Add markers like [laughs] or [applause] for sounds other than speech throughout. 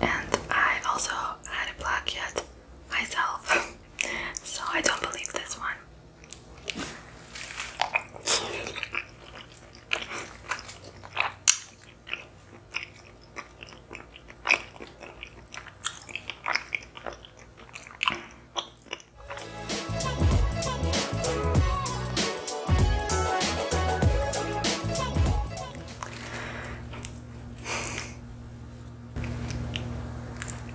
And I also had a yet myself, [laughs] so I don't believe this one.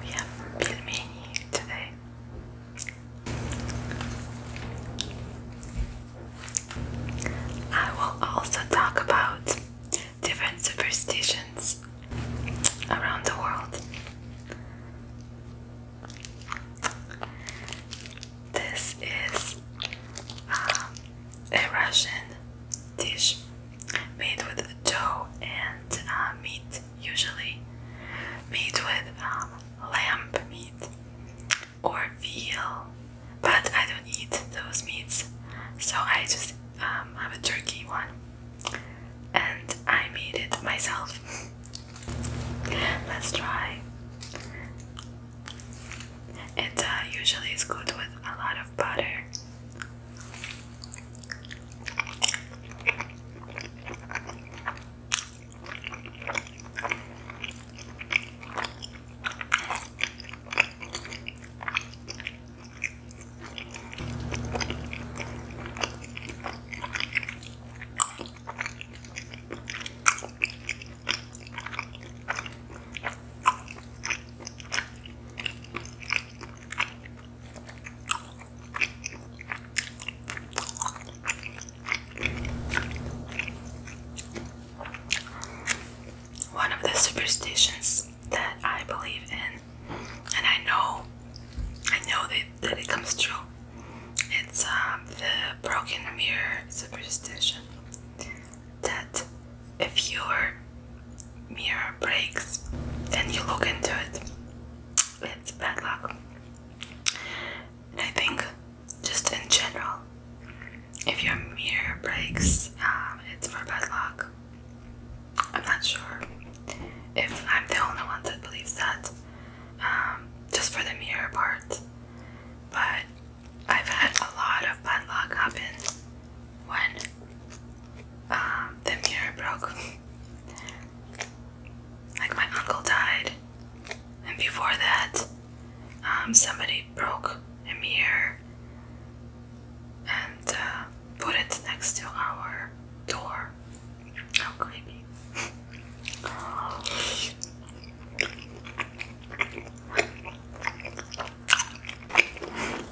We have pilmeni today. I will also talk about different superstitions around the world. This is um, a Russian dish made with dough and uh, meat, usually made with um, lamb meat or veal. But I don't eat those meats, so I just um, have a turkey one, and I made it myself. [laughs] Let's try. It uh, usually is good with a lot of butter. One of the superstitions that I believe in, and I know, I know that, that it comes true. It's um, the broken mirror superstition that if your mirror breaks and you look into it, it's bad luck. And I think, just in general, if your mirror breaks, um, it's for bad luck. I'm not sure if I'm the only one that believes that, um, just for the mirror part. But I've had a lot of bad luck happen when um, the mirror broke. [laughs] like my uncle died, and before that, um, somebody broke a mirror and uh, put it next to our door. How creepy! [laughs]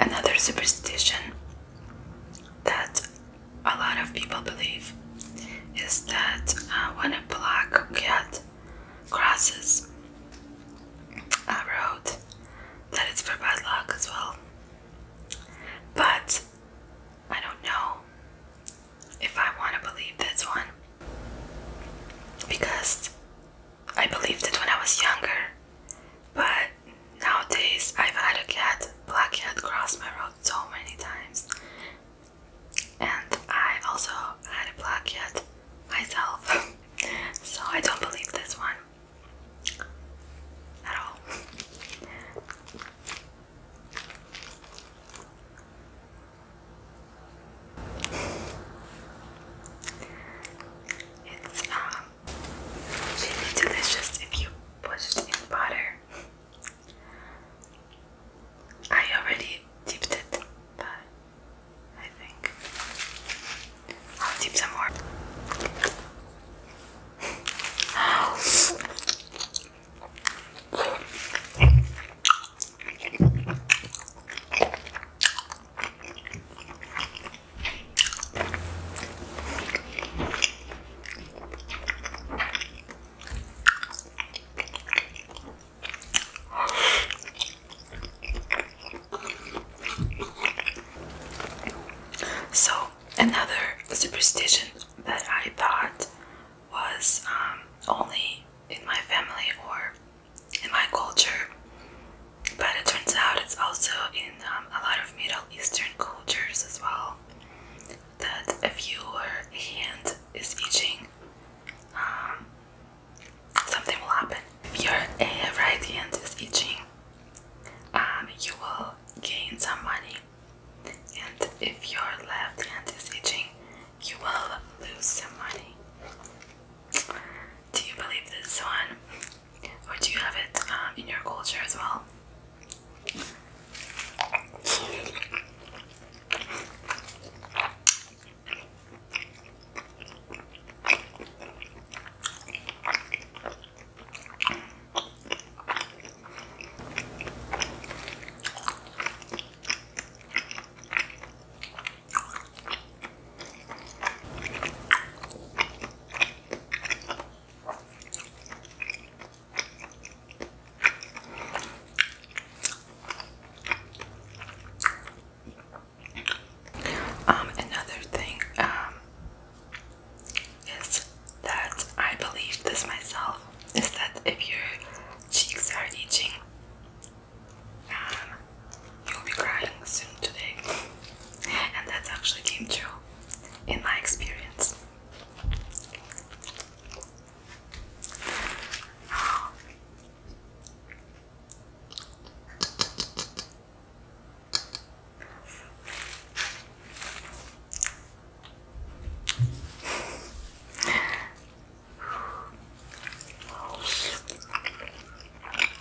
Another superstition that a lot of people believe is that uh, when a black cat crosses a road, that it's for bad luck as well. But I don't know if I want to believe this one because I believed it when I was younger, but nowadays I've had a cat, black cat, cross my road so many times. And I also had a black cat myself, [laughs] so I don't believe this one at all. It's um should delicious if you put it in butter. I already dipped it, but I think I'll dip some more. So, another superstition that I thought was um, only in my family or in my culture, but it turns out it's also in um, a lot of Middle Eastern cultures as well. That if your hand is itching, um, something will happen. If your uh, right hand is itching, um, you will gain some money, and if your left hand is itching, you will lose some money. Do you believe this one? Or do you have it um, in your culture as well? Um, another thing um, is that I believe this myself is that if your cheeks are itching, you'll be crying soon today. And that actually came true in my experience.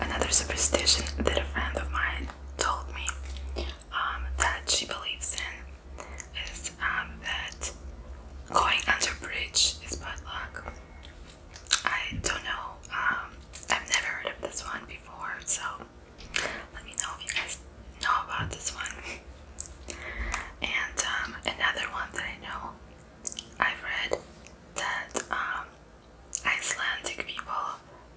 Another superstition that a friend of mine told me um, that she believes in is um, that going under a bridge is bad luck. I don't know, um, I've never heard of this one before, so let me know if you guys know about this one. And another one that I know I've read that Icelandic people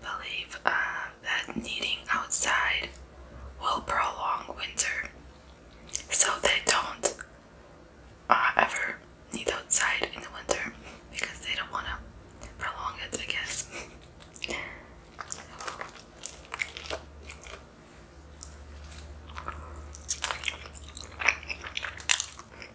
believe um, that knitting outside will prolong winter, so they don't uh, ever knit outside in the winter because they don't want to prolong it, I guess.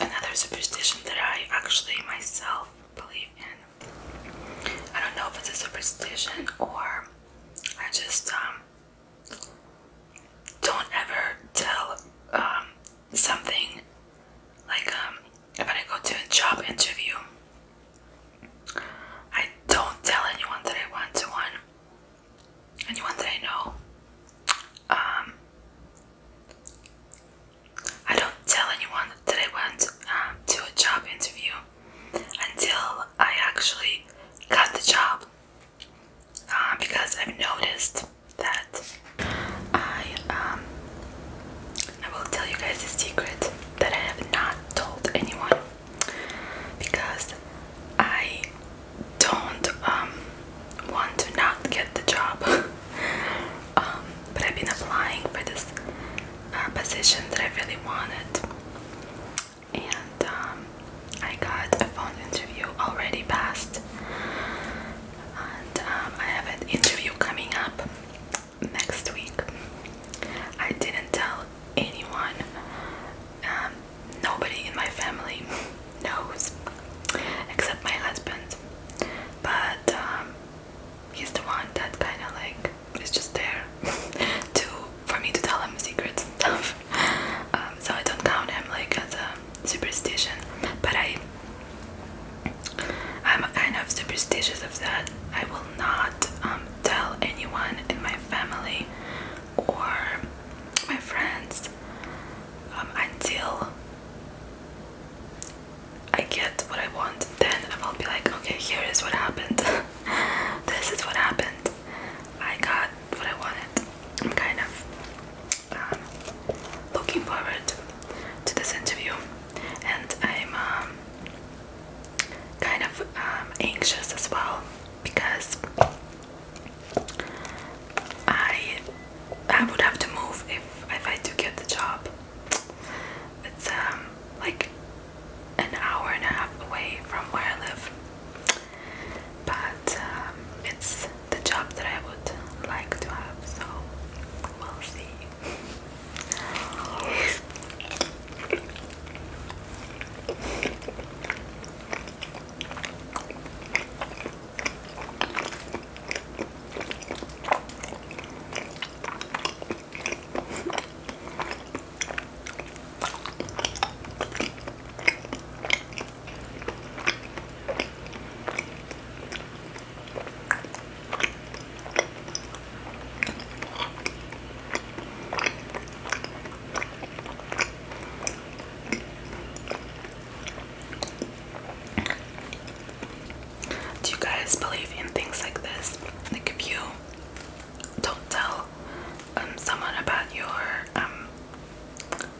Another superstition that I actually myself believe in. I don't know if it's a superstition or I just um don't ever tell um, something like um, if I go to a job interview, I don't tell anyone that I went to one, anyone that I know. Um, I don't tell anyone that I went um, to a job interview until I actually got the job. Uh, because I've noticed that I um, I will tell you guys a secret that I have not told anyone because I don't um, want to not get the job. [laughs] Um, but I've been applying for this uh, position that I really wanted, and I got a phone interview already passed, and um, I have an interview coming up next week. I didn't tell anyone, um, nobody in my family [laughs] knows except my husband, but um, he's the one that kind of like is just there [laughs] to for me to tell him secrets um, so I don't count them like as a superstition. But I, I'm kind of superstitious of that. I will not um, tell anyone in my family or my friends um, until I get what I want. Then I will be like, okay, here is what happened. [laughs] this is what happened. I got what I wanted. I'm kind of um, looking forward to this interview, and I'm um, kind of um, anxious as well because I I would have to move if if I do get the job. It's um like an hour and a half away from where I live but um, it's the job that I would like to have, so we'll see. Do you guys believe in things like this? Like if you don't tell um, someone about your um,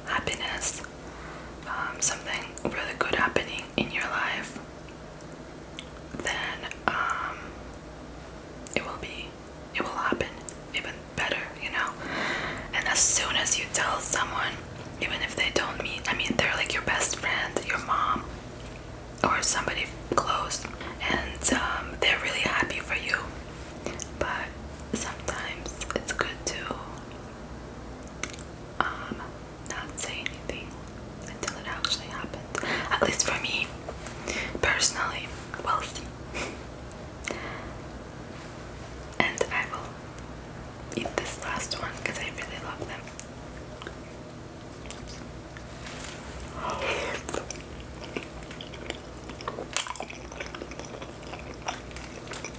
happiness, um, something really good happening in your life, then um, it will be, it will happen even better, you know. And as soon as you tell someone, even if they don't mean, I mean, they're like your best friend, your mom, or somebody close, and um, they're really happy for you. But sometimes it's good to um, not say anything until it actually happens. At least for me, personally. We'll see. [laughs] and I will eat this last one because I really love them.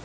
[laughs]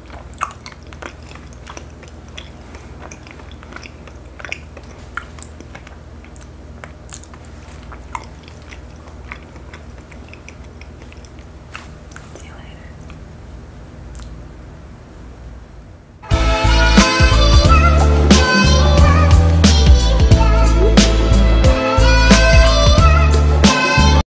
See you later.